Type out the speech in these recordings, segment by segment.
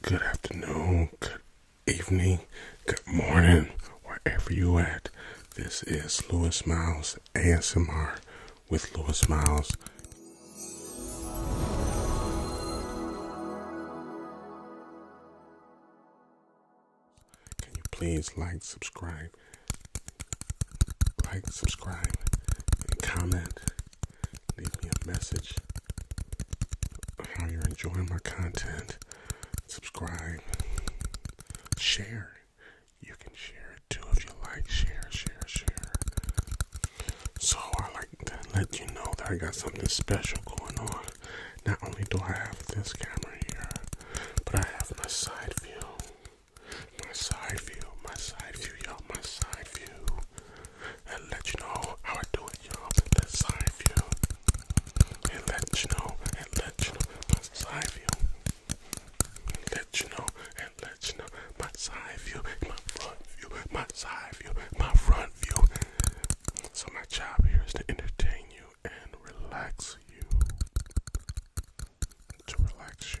good afternoon, good evening, good morning, wherever you at. This is Lewis Miles ASMR with Lewis Miles. Can you please like, subscribe, like, subscribe, and comment? Leave me a message how you're enjoying my content. Subscribe, share. You can share it too if you like. Share, share, share. So I like to let you know that I got something special going on. Not only do I have this camera here, but I have my side view. My side view, my side view, you my side view and let you know how I do it, y'all. That's side view. And let you know, and let you know my side view. Let you know, and let you know my side view, my front view, my side view, my front view. So my job here is to entertain you and relax you. To relax you.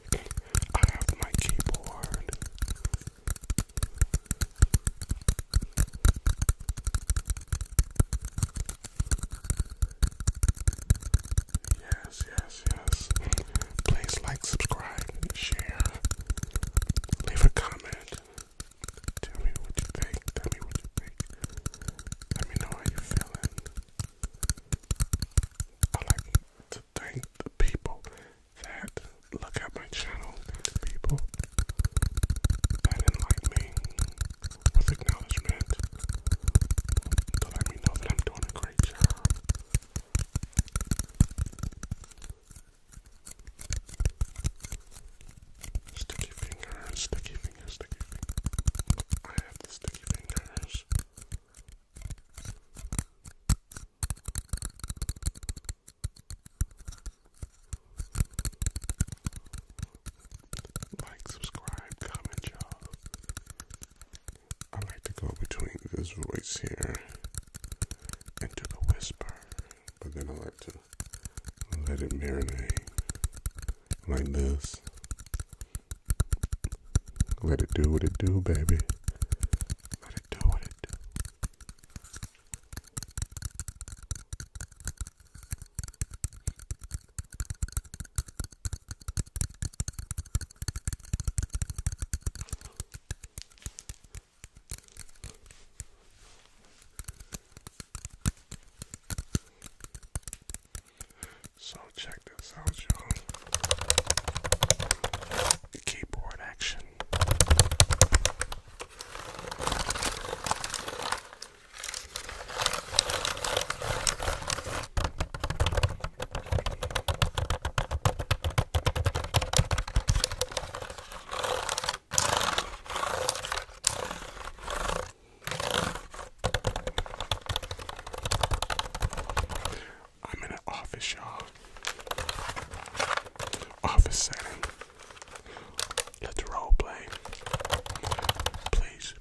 I have my keyboard. Yes, yes, yes. Please like, subscribe, share. Leave a comment. Tell me what you think. Tell me what you think. Let me know how you're feeling. I like to thank the people that look at my channel, people that enlighten me with acknowledgement, to let me know that I'm doing a great job. Sticky fingers, sticky fingers, sticky fingers. I have sticky fingers. Like, subscribe, comment, y'all. I like to go between this voice here and do the whisper, but then I like to let it marinate like this. Let it do what it do, baby. Let it do what it do. So check this out, y'all. Keyboard action. I'm in an office, y'all. Office setting. Let's role play. Please,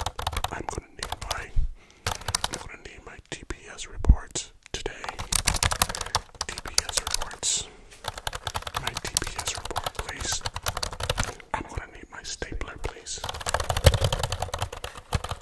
I'm gonna need my I'm gonna need my TPS reports today. TPS reports. My TPS report, please. I'm gonna need my stapler, please.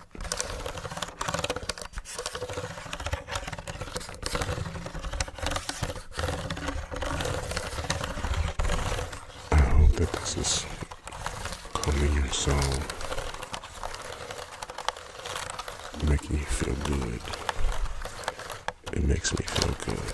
I hope that this is calming your soul, making me feel good. It makes me feel good.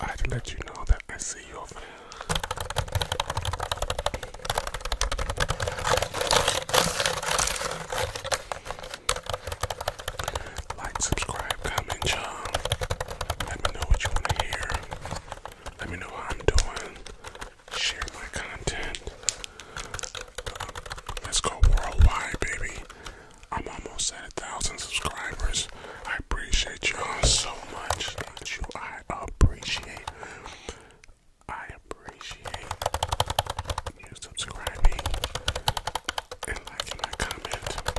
I'd let you know that I see you over there. Like, subscribe, comment, y'all. Let me know what you want to hear. Let me know how I'm doing. Share my content. Um, let's go worldwide, baby. I'm almost at a thousand subscribers. I appreciate y'all so much. Thank you. I appreciate. I appreciate you subscribing and liking my comment.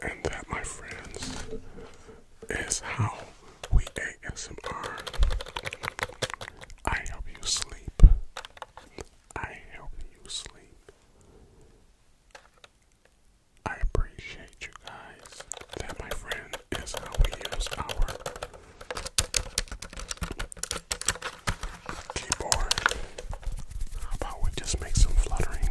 And that, my friends, is how we ASMR. I help you sleep. I help you sleep. I appreciate you guys. That, my friend, is how we use our keyboard. How about we just make some fluttering?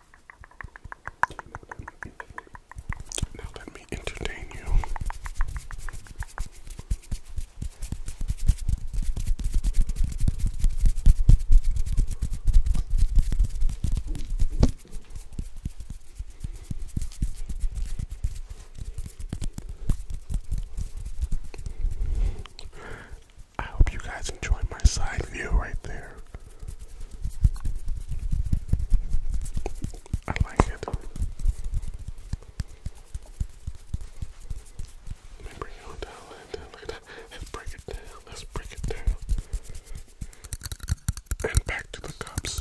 Now let me entertain you. I hope you guys enjoy my side view right there. I like it. Let me bring it down, like that, look at that. Let's break it down, let's break it down. And back to the cups.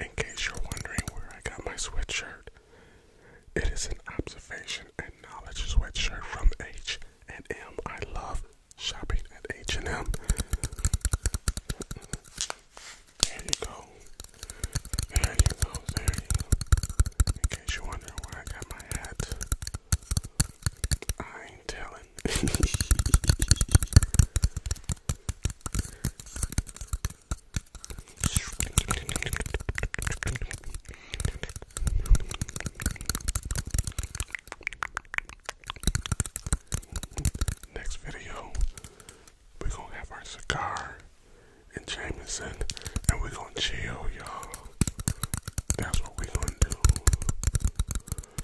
In case you're wondering where I got my sweatshirt, it is an observation and knowledge sweatshirt from H and M. I love shopping at H and M. There you go. There you go. There In case you're wondering where I got my hat, I ain't telling Next video, we're gonna have our cigar and Jameson, and we're gonna chill, y'all. That's what we're gonna do.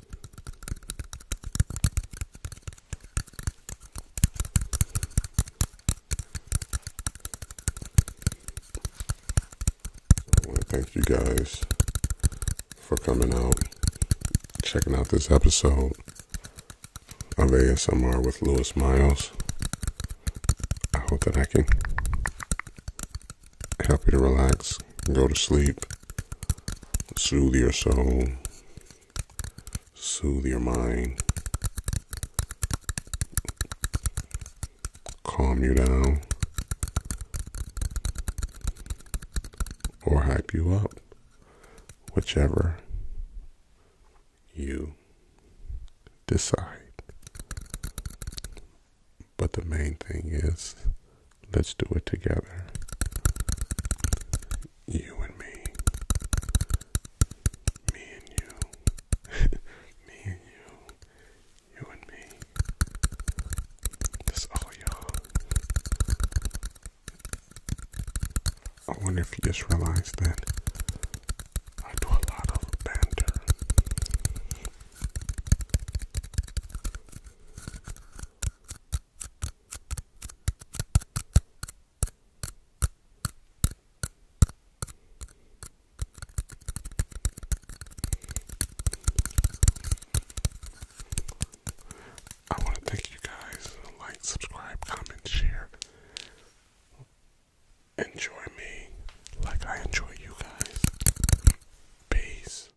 I want to thank you guys for coming out, checking out this episode of ASMR with Lewis Miles. I hope that I can help you to relax, go to sleep, soothe your soul, soothe your mind, calm you down, or hype you up, whichever you decide. But the main thing is Let's do it together. You and me. Me and you. me and you. You and me. That's all y'all. I wonder if you just realized that I do a lot of banter. I want to thank you guys. Like, subscribe, comment, share. Enjoy me like I enjoy you guys. Peace.